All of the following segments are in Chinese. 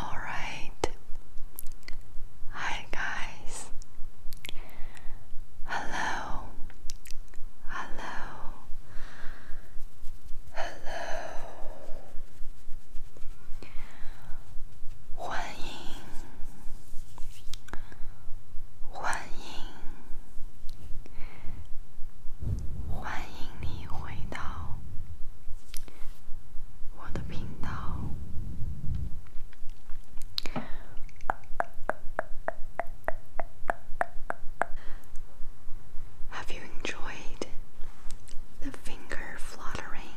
Alright, hi guys, hello, hello, hello, 欢迎，欢迎，欢迎你回到道，我的频道。Have you enjoyed the finger fluttering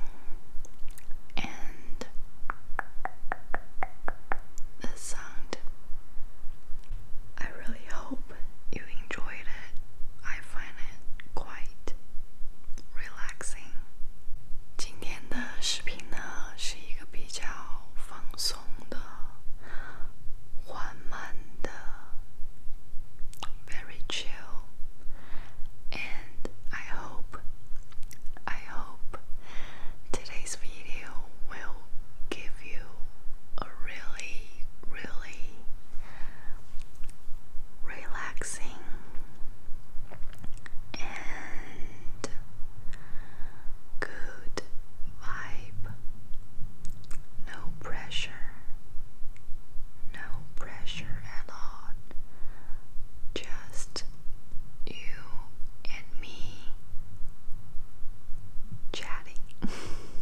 and the sound? I really hope hope you enjoyed it. I find it quite relaxing. 今天的视频呢是一个比较放松的、缓慢的，very chill. And I hope, I hope today's video will give you a really really relaxing and good vibe. No pressure, no pressure at all. Just you and me chatting.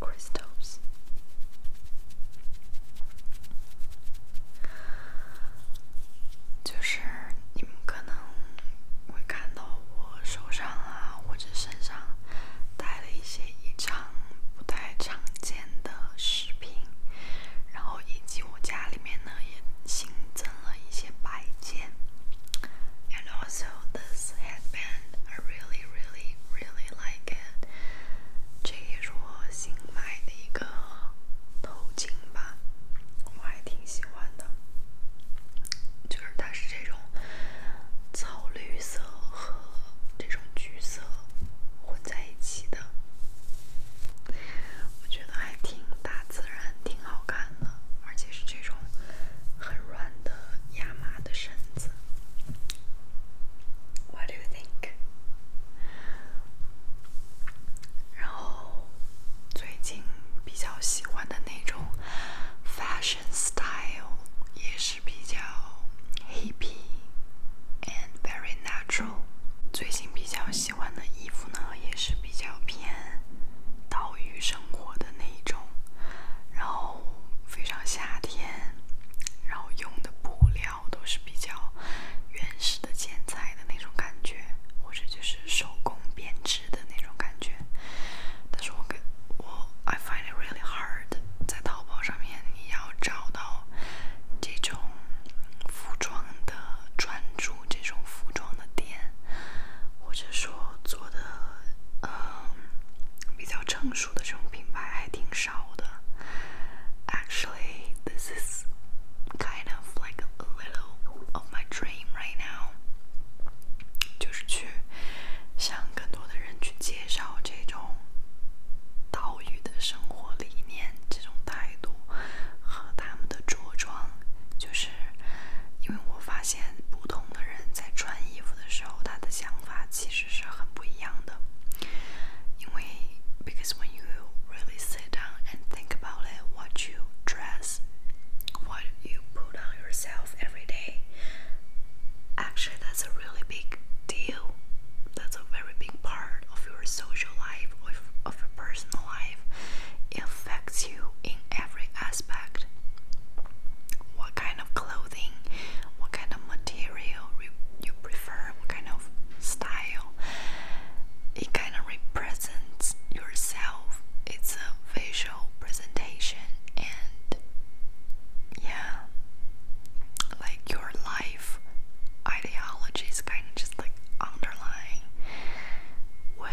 c r y s t a s 就是你们可能会看到我手上啊或者身上带了一些异常不太常见的饰品，然后以及我家里面呢也新增了一些摆件。And also this h a d b a n I really, really, really like it。这也是我新买的一个头巾吧，我还挺喜欢的。就是它是这种草绿色和这种橘色混在一起的，我觉得还挺大自然，挺好看。而且是这种很软的亚麻的绳子。What do you think？然后最近比较喜欢的那种 fashion style 也是比较 hippy and very natural。最近比较喜欢的衣服呢，也是比较偏岛屿风。生活的那一种，然后非常夏天，然后用的布料都是比较原始的剪裁的那种感觉，或者就是手工编织的那种感觉。但是我跟我，I find it really hard 在淘宝上面你要找到这种服装的专注，这种服装的店，或者说。做的嗯，比较成熟的这种品牌还挺少的。Actually, this is kind of like a little of my dream right now。就是去向更多的人去介绍这种岛屿的生活理念、这种态度和他们的着装，就是。因为我发现不同的人在穿衣服的时候，他的想法其实是很不一样的。因为 because when you really sit down and think about it, what you dress, what you put on yourself every day, actually that's a really big deal. That's a very big part of your social life, of your personal life. It affects you in every aspect what kind of clothing, what kind of material you prefer, what kind of style. It kind of represents yourself. It's a visual presentation and yeah, like your life ideology kind of just like underlying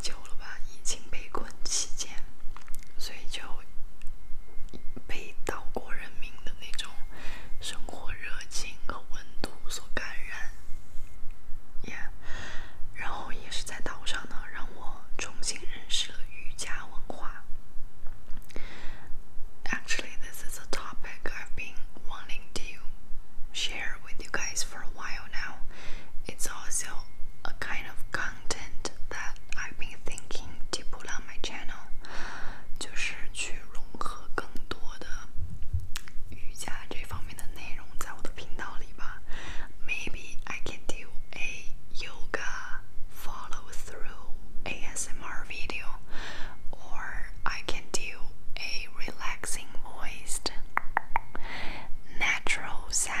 久了吧？疫情被困期间，所以就被岛国人民的那种生活热情和温度所感染，耶！然后也是在岛上呢，让我重新认识了瑜伽文化。Actually, this is a topic I've been wanting to share with. you guys for a while now. It's also a kind of content that I've been thinking to put on my Maybe I can do a yoga follow through ASMR video, or I can do a relaxing voiced natural sound.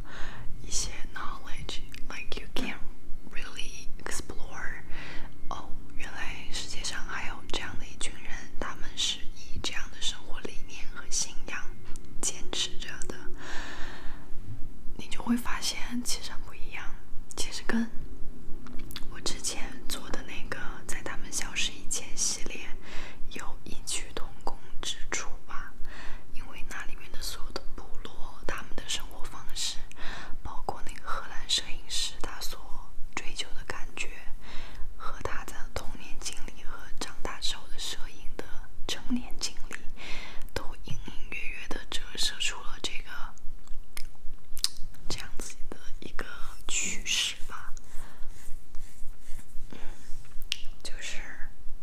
一些 knowledge，like you can really explore。哦，原来世界上还有这样的一群人，他们是以这样的生活理念和信仰坚持着的。你就会发现，其实不一样，其实跟我之前做的那个，在他们消失以前系列有一句。同工之处吧，因为那里面的所有的部落，他们的生活方式，包括那个荷兰摄影师他所追求的感觉，和他的童年经历和长大之后的摄影的成年经历，都隐隐约约的折射出了这个这样子的一个趋势吧。就是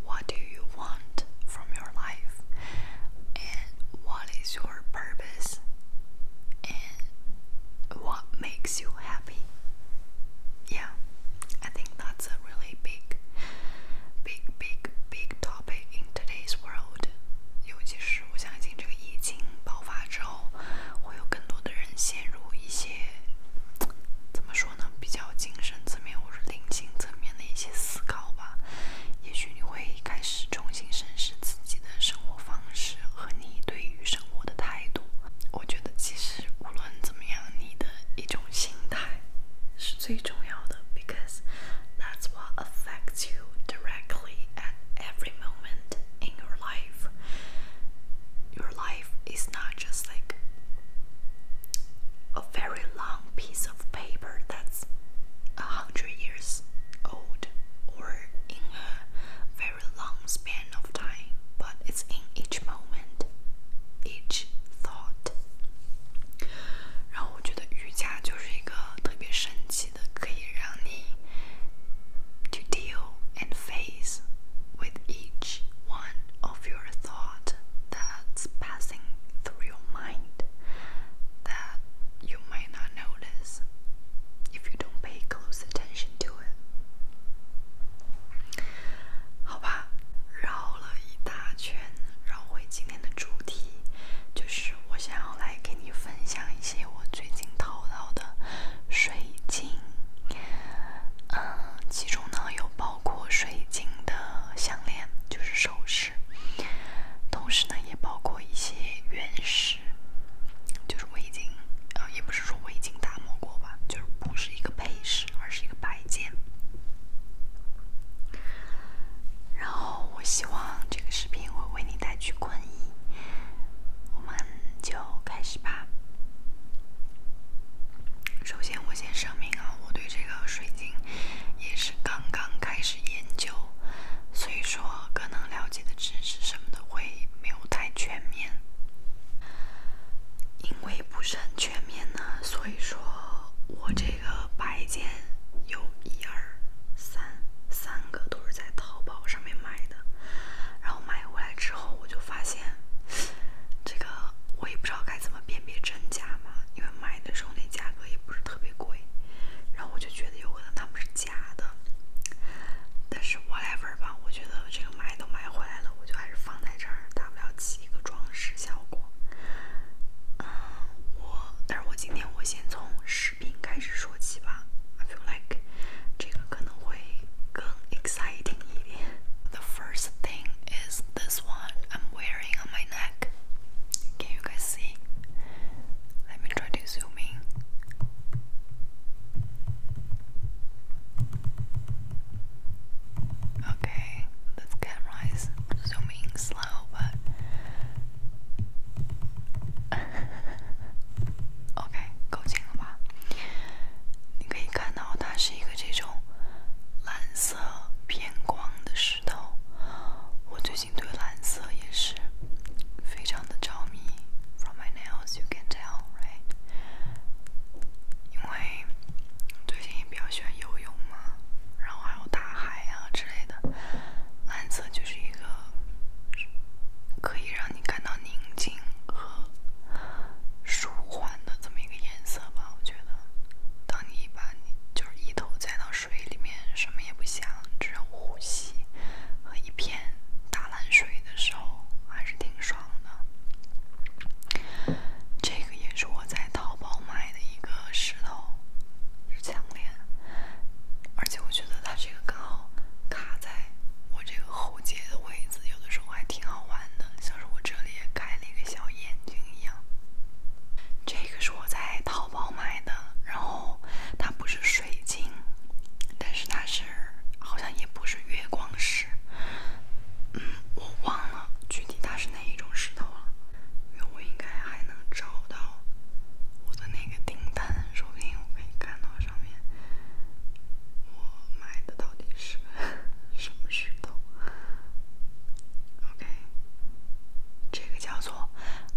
What do you want from your life? And what is your purpose? And what makes you happy? Yeah, I think that's a really big, big, big, big topic in today's world. 尤其是我相信这个疫情爆发之后，会有更多的人陷入一些怎么说？比较精神层面或者灵性层面的一些思考吧，也许你会开始重新审视自己的生活方式和你对于生活的态度。我觉得其实无论怎么样，你的一种心态是最重要的，because that's what affects you directly at every moment in your life. Your life is not. just like a very long piece of paper that's a hundred years old or in a very long span of time, but it's in each moment, each thought. 然后我觉得瑜伽就是一个特别神奇的，可以让你 to deal and face with each one of your thought thought that's passing through your mind that you might not notice if you don't pay close attention to it. 好吧，绕了一大圈，绕回今天的主题，就是我想要来给你分享一些我最近淘到的水晶。嗯，其中呢有包包括水晶的项链，就是首饰；同时呢，也包括一些原石，就是我已经呃，也不是说我已经打磨过吧，就是不是一个配饰，而是一个摆件。然后，我希望这个视频会为你带去困意，我们就开始吧。首先，我先声明啊，我对这个水晶也是刚刚开始研究，所以说可能了解的知识什么的会没有太全面。因为不是很全面呢，所以说我这个摆件有一二三三个都是在淘宝上面买的，然后买回来之后我就发现。这个我也不知道该怎么辨别真假嘛，因为买的时候那价格也不是特别贵，然后我就觉得有可能它们是假的。但是 whatever 吧，我觉得这个买都买回来了，我就还是放在这儿，大不了起一个装饰效果。嗯，我，但是我今天我先从视频开始说起吧，I feel like 这个可能会更 exciting 一点。The first thing is this one I'm wearing on my neck. Can you guys see? Let me try to zoom in. Okay, this camera is zooming slow, but OK，够近了吧？你可以看到它是一个。这种蓝色偏光的石头，我最近对蓝色也是非常的着迷。From my nails, you can tell, right? 因为最近比较喜欢游泳嘛，然后还有大海啊之类的，蓝色就是一个可以让你感到宁静。和舒缓的这么一个颜色吧，我觉得，当你把你就是一头栽到水里面，什么也不想，只有呼吸和一片打烂水的时候，还是挺爽的。这个也是我在淘宝买的一个石头，是项链，而且我觉得它这个刚好卡在我这个喉结的位置。有的时候还挺好玩的，像是我这里也开了一个小眼睛一样。这个是我在淘宝买的，然后它不是水晶，但是它是好像也不是月光石，嗯，我忘了具体它是哪一种石头了。因为我应该还能找到我的那个订单，说不定我可以看到上面我买的到底是 什么。举动，OK，这个叫做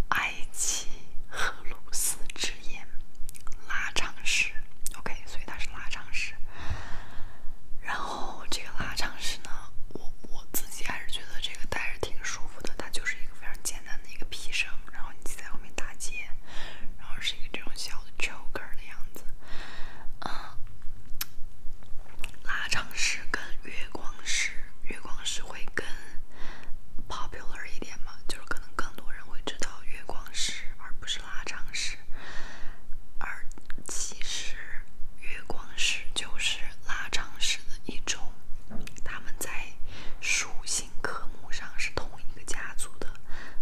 埃及荷鲁斯之眼拉长式，OK，所以它是拉长式。然后这个拉长式呢，我我自己还是觉得这个戴着挺舒服的，它就是一个非常简单的一个皮绳，然后你在后面打结，然后是一个这种小的 choker 的样子。嗯，拉长式跟月光石，月光石会更 popular 一点嘛？就是可能更多人会知道月光石，而不是拉长石。而其实月光石就是拉长石的一种，他们在属性科目上是同一个家族的，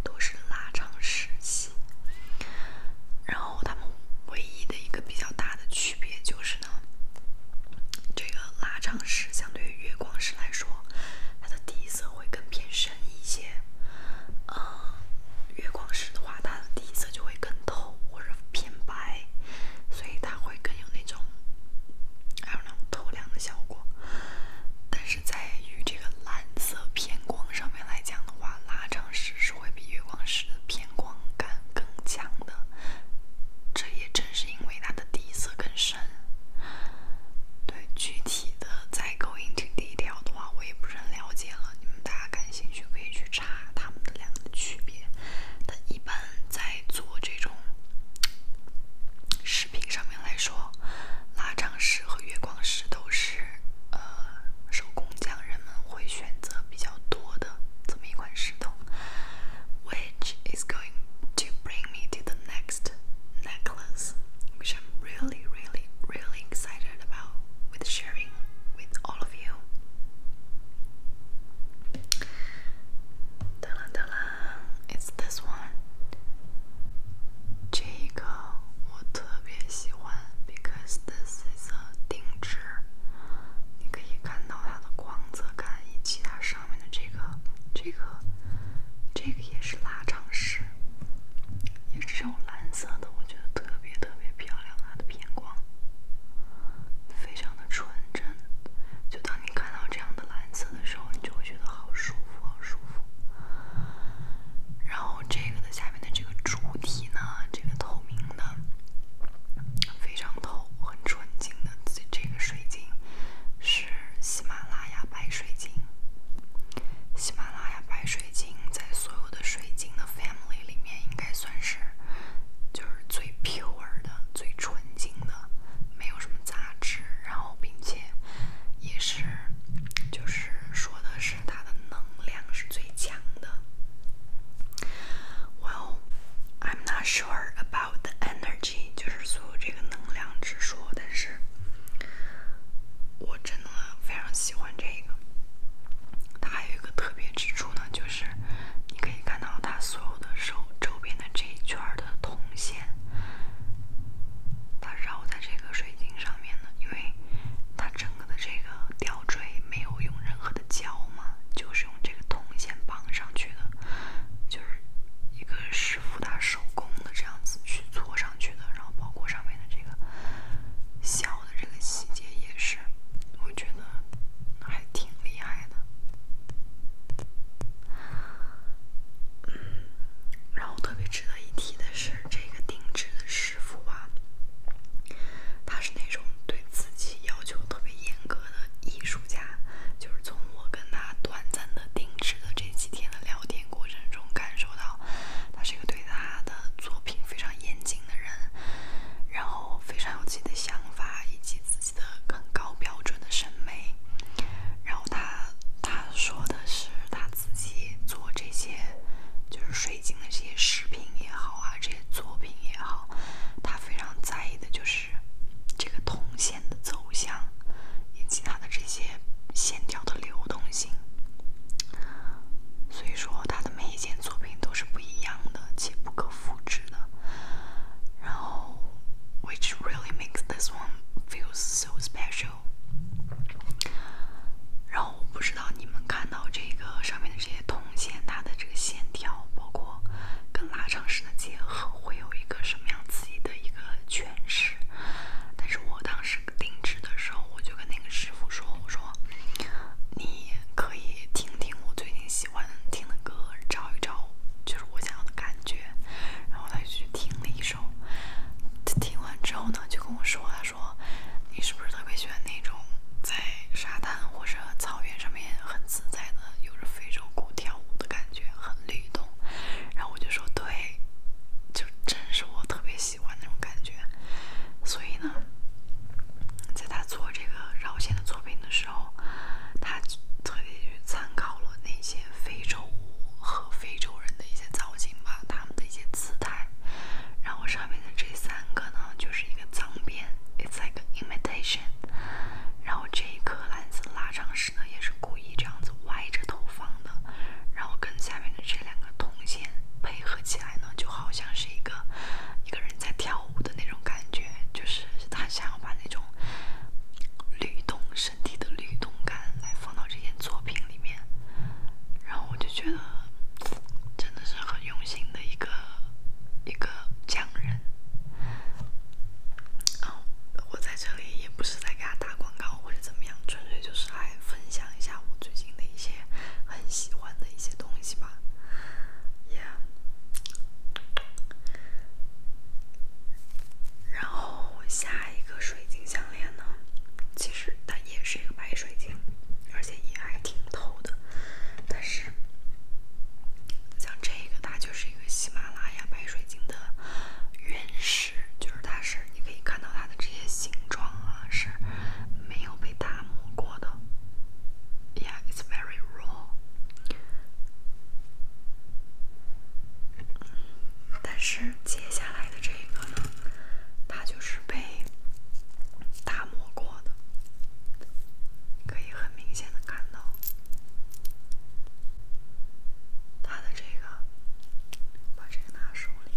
都是拉长石系。然后他们唯一的一个比较大的区别就是呢，这个拉长石相对于月光石来说，它的底色会更偏深一些。嗯，月光石的话，它的底色就会更透或者偏白，所以它会更有那种还有那种透亮的效果。但是在与这个蓝色偏光上面来讲的话，拉长石是会比月光石的偏光感更强的。这也正是因为它的底色更深。对具体的在 going to 勾引这条的话，我也不是很了解了。你们大家感兴趣可以去查它们的两个区别。但一般在做这种视频上面来说。Which is going to bring me to the next necklace, which I'm really, really, really excited about with sharing with all of you. 哒啦哒啦，it's this one. 这个我特别喜欢，because this is a 定制。你可以看到它的光泽感以及它上面的这个、这个、这个也是拉长式，也是这种蓝色的，我觉得特别特别漂亮。它的偏光非常的纯真。就当你看到这样的蓝色的时候，你就会觉得好舒服，好舒服。然后这个的下。里面的这个主体呢，这个透明的，非常透，很纯净的这这个水晶，是喜马拉雅白水晶。喜马拉雅白水晶在所有的水晶的 family 里面，应该算是就是最 pure 的、最纯净的，没有什么杂质。然后，并且也是就是说的是。它的能量是最强的。Well, I'm not sure about the energy，就是所有这个能量之说。但是，我真的非常喜欢这个。它还有一个特别之处呢，就是你可以看到它所有的手周边的这一圈的铜线，它绕在这个水。水晶上面呢，因为它整个的这个吊坠没有用任何的胶嘛，就是用这个铜线绑上去的，就是一个师傅他手工的这样子去搓上去的，然后包括上面的这个小的这个细节也是，我觉得还挺厉害的，然后特别。值得一提的是，这个定制的师傅啊，他是那种对自己要求特别严格的艺术家。就是从我跟他短暂的定制的这几天的聊天过程中，感受到他是一个对他的作品非常严谨的人，然后非常有自己的想法以及自己的更高标准的审美。然后他他。说的是他自己做这些，就是水晶的这些饰品也好啊，这些作品也好，他非常在意的就是这个铜线的走向，以及它的这些线条的流动性。所以说，他的每一件作品都是不一样的且不可复制的。然后，which really makes this one feel so special. 然后我不知道你们看到这个上面的这些铜线，它的这个线条，包括跟拉长式的结合，会有一个什么样自己的一个诠释。但是我当时定制的时候，我就跟那个师傅说：“我说你可以听听我最近喜欢听的歌，找一找就是我想要的感觉，然后再去听你。”他听完之后呢，就跟我说：“他说，你是不是特别喜欢那种在沙滩或者草原上面很自在的，有着非洲鼓跳舞的感觉，很律动？”然后我就说：“对，就真是我特别喜欢那种感觉。”所以呢，在他做这个绕线的作品的时候，他特别去参考了那些。非洲舞和非洲人的一些造型吧，他们的一些姿态。然后上面的这三个呢，就是一个脏辫，It's like imitation。然后这一颗蓝色拉长石呢，也是故意这样子歪着头放的。然后跟下面的这两个铜线配合起来呢，就好像是一个一个人在跳舞的那种感觉，就是他想要把那种律动。身体的律动感来放到这件作品里面，然后我就觉得真的是很用心的一个一个匠人。我在这里也不是在给他打广告或者怎么样，纯粹就是来分享一下我最近的一些很喜欢的一些东西吧。Yeah，然后我下。一个水晶项链呢，其实它也是一个白水晶，而且也还挺透的。但是像这个，它就是一个喜马拉雅白水晶的原石，就是它是你可以看到它的这些形状啊，是没有被打磨过的。Yeah, it's very raw。但是接下来的这。这个呢，它就是被打磨过的，可以很明显的看到它的这个，把这个拿手里，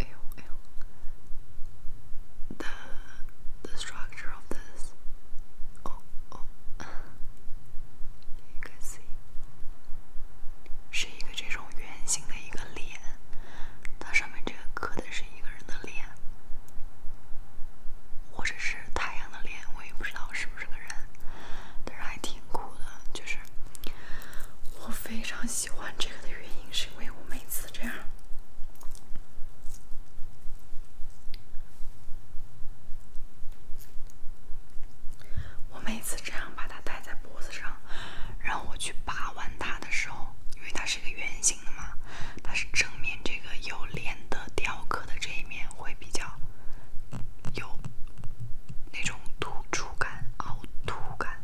哎呦哎呦，the the structure of this，哦哦。是一个这种圆形的一个脸，它上面这个刻的是一个人的脸，或者是太阳的脸，我也不知道是不是个人，但是还挺酷的。就是我非常喜欢这个的原因，是因为我每次这样。我每次这样把它戴在脖子上，然后我去把玩它的时候，因为它是一个圆形的嘛，它是正面这个有脸的雕刻的这一面会比较有那种突出感、凹凸感，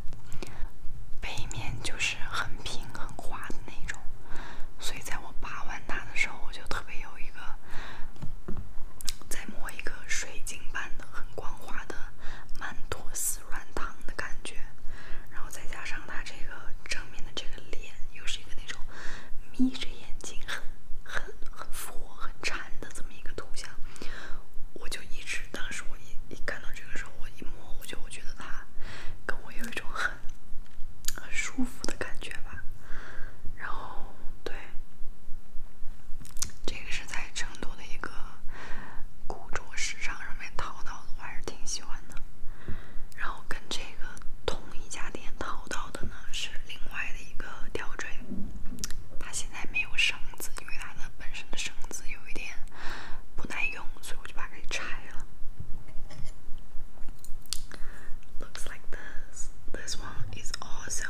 背面就是很平很滑的那种，所以在我把玩它的时候，我就特别有一个。再摸一个水晶般的、很光滑的曼托斯软糖的感觉，然后再加上它这个正面的这个脸，又是一个那种眯着眼睛、很、很、很佛、很禅的这么一个图像，我就一直当时我一一看到这个时候，我一摸，我就我觉得它跟我有一种很很舒服的感觉吧，然后对。对，这个是在成都的一个古着市场上面淘到的，我还是挺喜欢的。然后跟这个同一家店淘到的呢是另外的一个吊坠，它现在没有绳子，因为它的本身的绳子有一点不耐用，所以我就把它给拆了。Looks like this. This one is a w e s o m e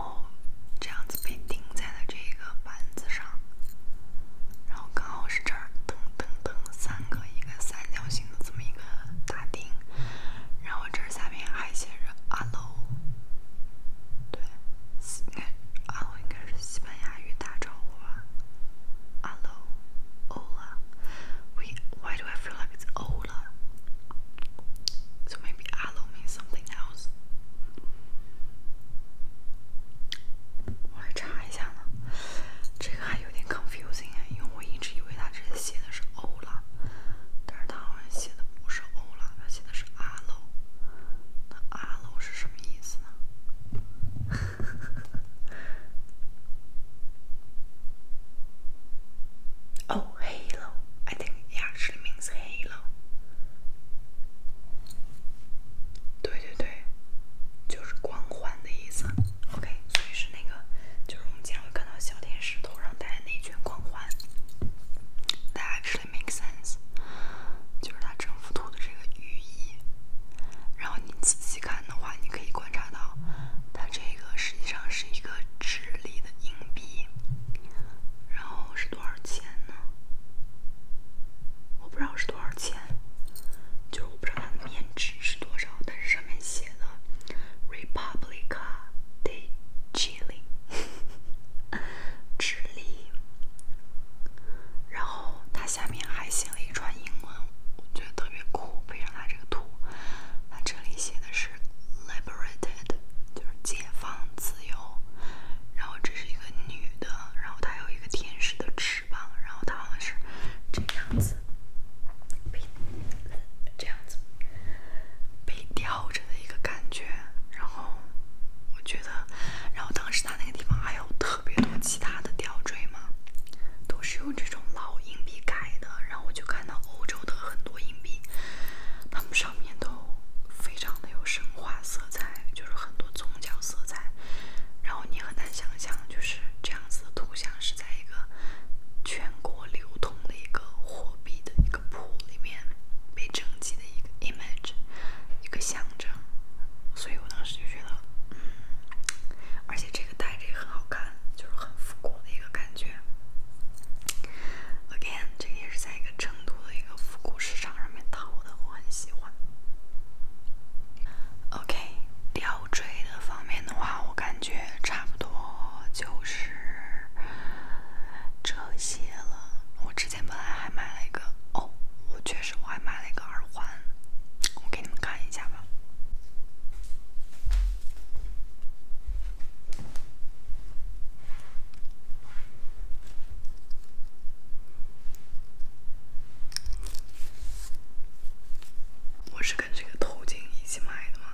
哦，这样子被钉在了这个板子上，然后刚好是这噔噔噔三个一个三角形的这么一个大钉，然后这下面还写着“阿洛”，对，应该“阿应该是西班牙语打招呼吧，“阿洛，ola”，“we why do I feel like it’s o”。cola. So maybe aloe means something else. 我来查一下呢，这个还有点 confusing 哎，因为我一直以为它这里写的是欧拉，但是它好像写的不是欧拉，它写的是阿楼。那阿楼是什么意思呢？哦 h e l o i think it a c t u a l l y means "hello"，对对对，就是光环的意思。OK，所以是那个，就是我们经常会看到小天使头上戴的那一圈光环，Does it make sense？就是它整幅图的这个寓意。然后你仔细看的话，你可以观察到。它这个实际上是一个智利的硬币，然后是多少钱呢？我不知道是多少钱，就是我不知道它的面值是多少，但是上面写的 Republica de Chile，智利。然后它下面还写了一串英文，我觉得特别酷，配上它这个图，它这里写的是。liberated 就是解放自由，然后这是一个女的，然后她有一个天使的翅膀，然后她好像是这样子被这样子被吊着的一个感觉，然后我觉得，然后当时他那个地方还有特别多其他的吊坠嘛，都是用这种老鹰。币改的，然后我就看到欧洲的很多硬币，它们上面都非常的有神话色彩，就是很多宗教色彩。然后你很难想象，就是这样子的图像是在一个全国流通的一个货币的一个铺里面被征集的一个 image，一个象征。所以我当时就觉得，嗯，而且这个戴着也很好看，就是很复古的一个感觉。Again，这个也是在一个成都的一个复古市场上面淘的，我很喜欢。OK，吊坠的方面的话，我感觉差不多就是这些了。我之前本来还买了一个，哦，我确实我还买了一个耳环，我给你们看一下吧。我是跟这个头巾一起买的吗？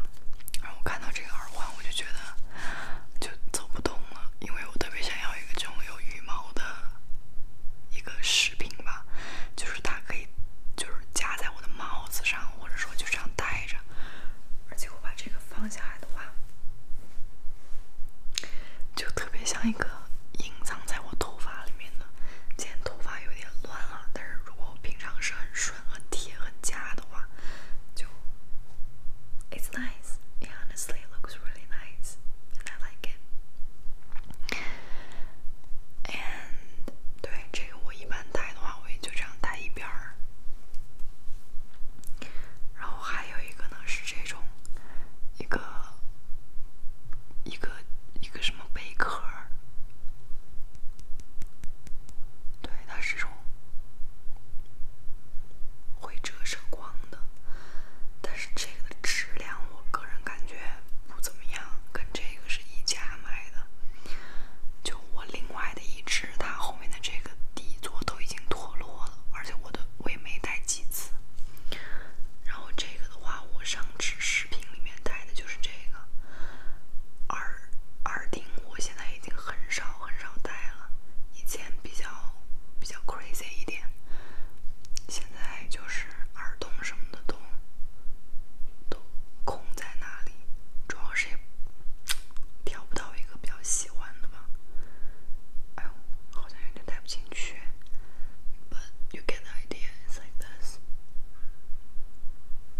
然后我看到这个耳环，我就觉得就走不动了，因为我特别想要一个这种有羽毛的一个饰品吧，就是它可以就是夹在我的帽子上，或者说就这样戴。着，而且我把这个放下来的话，就特别像一个隐藏在我头发里面的。今天头发有点乱了，但是如果我平常是很顺、很贴、很夹的话，就 it's nice. It honestly looks really nice, and I like it. And t h 我一般戴的话，我也就这样戴一边儿。然后还有一个呢，是这种，一个，一个，一个什么贝壳儿？对，它是这种会折射光的，但是这个的质量，我个人感觉不怎么样，跟这个是一家买的。就我另外。一只，它后面的这个底座都已经脱落了，而且我的我也没戴几次。然后这个的话，我上次视频里面戴的就是这个耳耳钉，我现在已经很少很少戴了，以前比较比较 crazy 一点，现在就是耳洞什么的都都空在那里，主要是。也挑不到一个比较喜欢的吧。哎呦，好像有点带不进去。You get the idea, it's like this.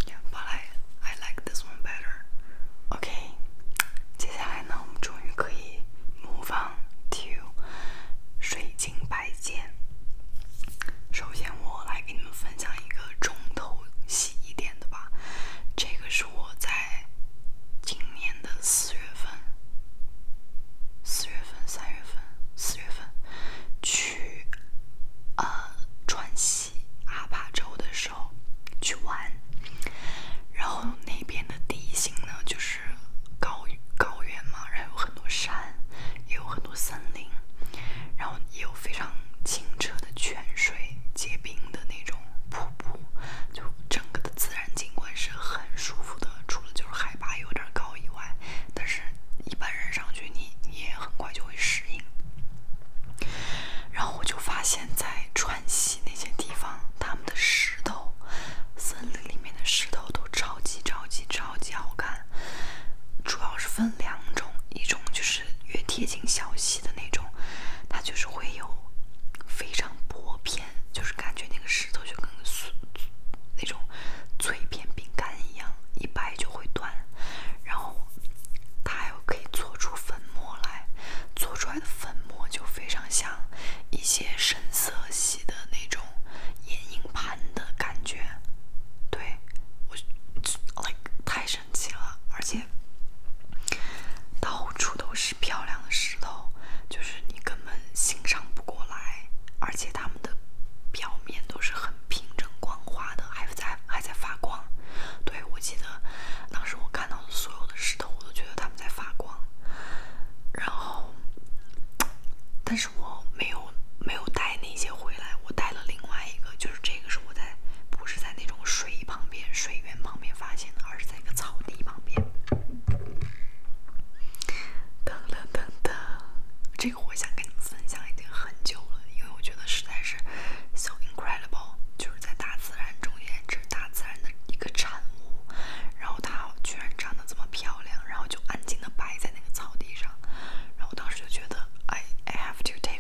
Yeah, but I I like this one better. Okay，接下来呢，我们终于可以模仿 Two 水晶摆件。首先，我来给你们分享一个重头戏。一点的吧，这个是我在今年的四月份、四月份、三月份、四月份去呃川西阿坝州的时候去玩，然后那边的地形呢就是高高原嘛，然后有很多山，也有很多森林，然后也有。非常清澈的泉水，结冰的那种瀑布，就整个的自然景观是很舒服的，除了就是海拔有点高以外，但是一般人上去你你也很快就会适应。然后我就发现，在川西那些地方，他们的石头，森林里面的石头都超级超级超级好看，主要是分。两种，一种就是越贴近小溪的那种，它就是会有非常薄片，就是感觉那个石头就跟酥那种脆片饼干一样，一掰就会断。然后它有可以做出粉末来，做出来的粉末就非常像一些深色系的那种眼影盘的感觉。对我，太深。奇了，而且到处都是漂亮的石头，就是你根本欣赏不过来。而且它们的表面都是很平整光滑的，还在还在发光。对，我记得当时我看到的所有的石头，我都觉得它们在发光。然后，但是我没有没有带。带那些回来，我带了另外一个，就是这个是我在不是在那种水旁边、水源旁边发现的，而是在一个草地旁边。噔噔噔噔，这个我想跟你们分享已经很久了，因为我觉得实在是 so incredible，就是在大自然中间，这是大自然的一个产物，然后它居然长得这么漂亮，然后就安静的摆在那个草地上，然后我当时就觉得，I I have to take。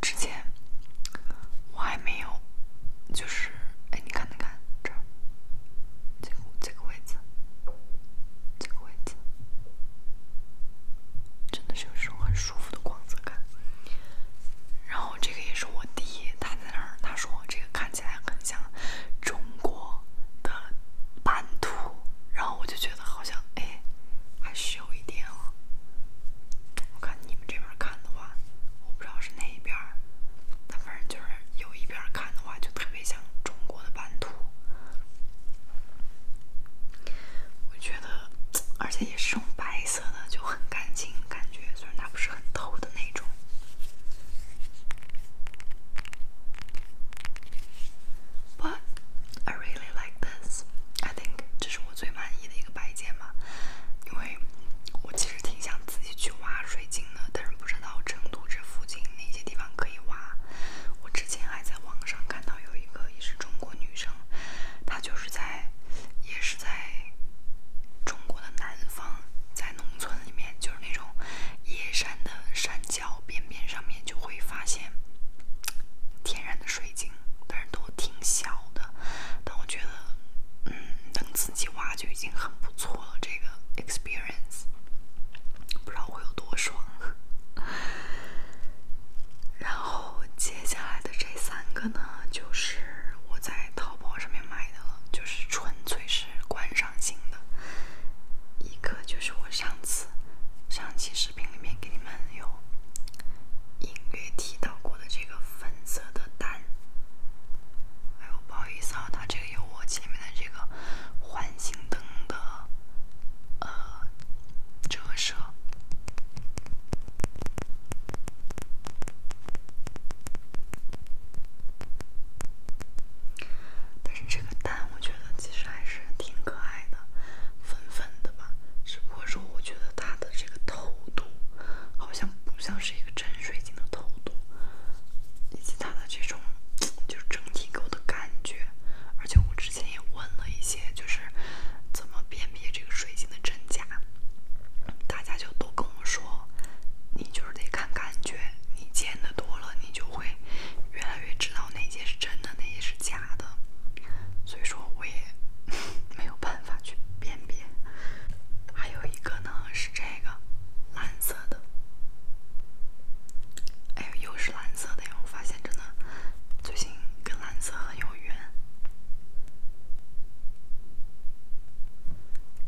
之前我还没有，就是，哎，你看，你看，这儿，这个，这个位置，这个位置，真的是有一种很舒服的光泽感。然后这个也是我弟，他在那儿，他说这个看起来很像中国的版图，然后我就觉得好像，哎，还是。有一点啊，我看你们这边看的话，我不知道是哪一边但反正就是有一边看的话，就特别像中国的版图。我觉得，而且也是种白色的，就很干净，感觉虽然它不是很透的那种。But I really like this. I think 这是。我。最满意的一个摆件嘛，因为我其实挺想自己去挖水晶的，但是不知道成都这附近哪些地方可以挖。我之前还在网上看到有一个也是中国女生，她就是在，也是在中国的南方，在农村里面，就是那种野山的山脚边边上面，就会发现天然的水晶。但是都挺小的，但我觉得，嗯，能自己挖就已经很不错了。这个 experience 不知道会有多爽。然后接下来的这三个呢，就是我在淘宝上面买的，了，就是纯粹是观赏性的。一个就是我上次，上期是。视频里面给你们有隐约提到过的这个粉色的蛋，哎呦，不好意思啊，它这个有我前面的这个环形灯的呃折射，但是这个蛋我觉得其实还是挺可爱的。粉粉的吧，只不过说，我觉得它的这个透度好像不像是一个真水晶的透度，以及它的这种 就是整体给我的感觉，而且我之前也问了一些，就是怎么辨别这个水晶的真假，大家就都跟我说，你就是得看感觉，你见的多了，你就会越来越知道哪些是真的，哪些是假。假的，所以说，我也 没有办法去辨别。还有一个呢，是这个蓝色的，哎，又是蓝色的呀！我发现真的，最近跟蓝色很有缘。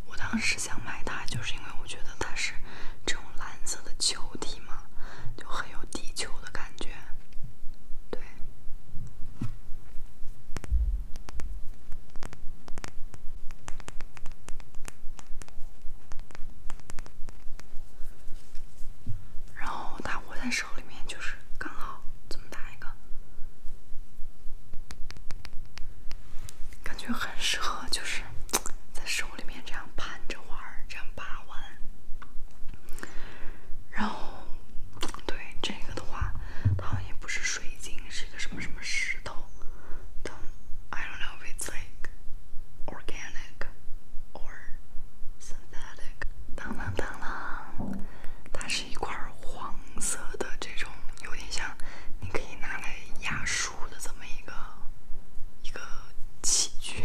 我当时想买它，就是因为我觉得它是这种蓝色的球体嘛，就很有地球的感觉，对。对。然后它握在手里面就是刚好这么大一个，感觉很适合，就是在手里面这样盘着玩这样把玩。然后。对这个的话，它好像也不是水晶，是一个什么什么石头。I don't know if it's like organic or synthetic。当当当当，它是一块黄色的这种，有点像你可以拿来压书的这么一个一个器具。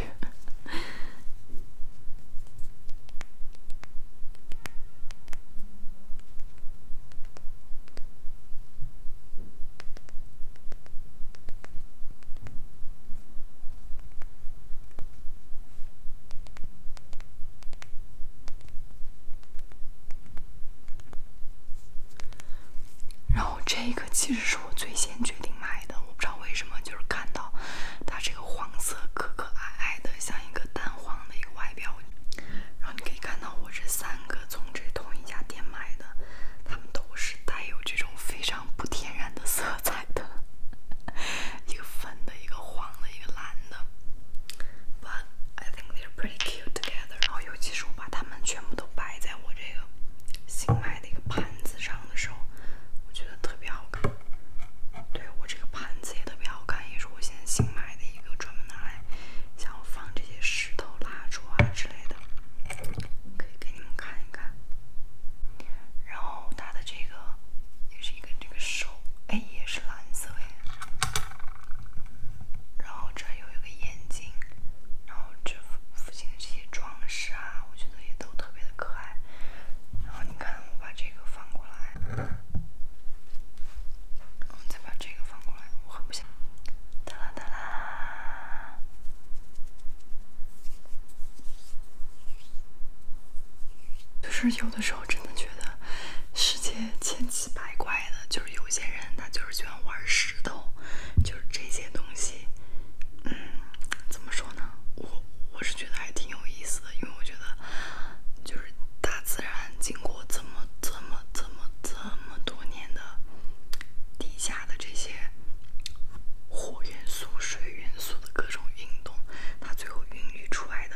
然后这个其实是我最先决定买的，我不知道为什么，就是看到它这个。黄色，可可爱爱的，像一个蛋黄的一个外表。然后你可以看到我这三个从这同一家店买的，它们都是带有这种非常不天然的色彩的，一个粉的，一个黄的，一个蓝的。But I think they're pretty cute together。然后尤其是我把它们全部都摆在我这个新买的一个盘子上的时候，我觉得特别好看。对我这个盘子也特别好看，也是我现在新买的一个，专门拿来想要放这些石头、蜡烛啊之类的，可以给你们看一看。然后它的这个也是一个这个手，哎，也是蓝色哎。然后这有一个眼睛，然后这附近的这些装饰啊，我觉得也都特别的可爱。然后你看。我把这个放过来，我再把这个放过来。我狠不想。哒啦哒啦。就是有的时候真的觉得世界千奇百怪的，就是有些人他就是喜欢玩石头，就是这些东西。嗯，怎么说呢？我我是觉得还挺有意思的，因为我觉得就是大自然经过这么这么这么这么多年的地下的这些火元素、水元素的各种运动，它最后孕育出来的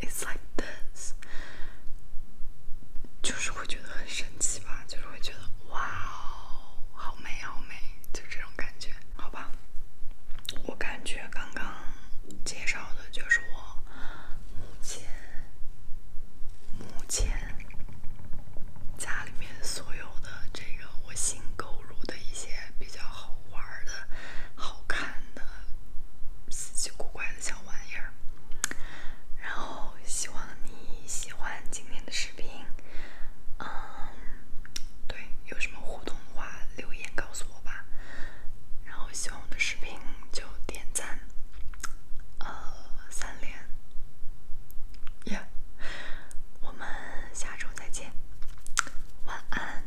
，it's like this，就是会觉得很神奇吧？就是会觉得哇哦，好美，好美，就这种感觉。好吧，我感觉刚刚介绍的就是我目前目前家里面所有的这个我新购入的一些比较好玩的、好看的、稀奇古怪的小玩意儿。然后希望你喜欢今天的视。视频，嗯，对，有什么互动的话，留言告诉我吧。然后，希望我的视频就点赞，呃，三连，耶！我们下周再见，晚安。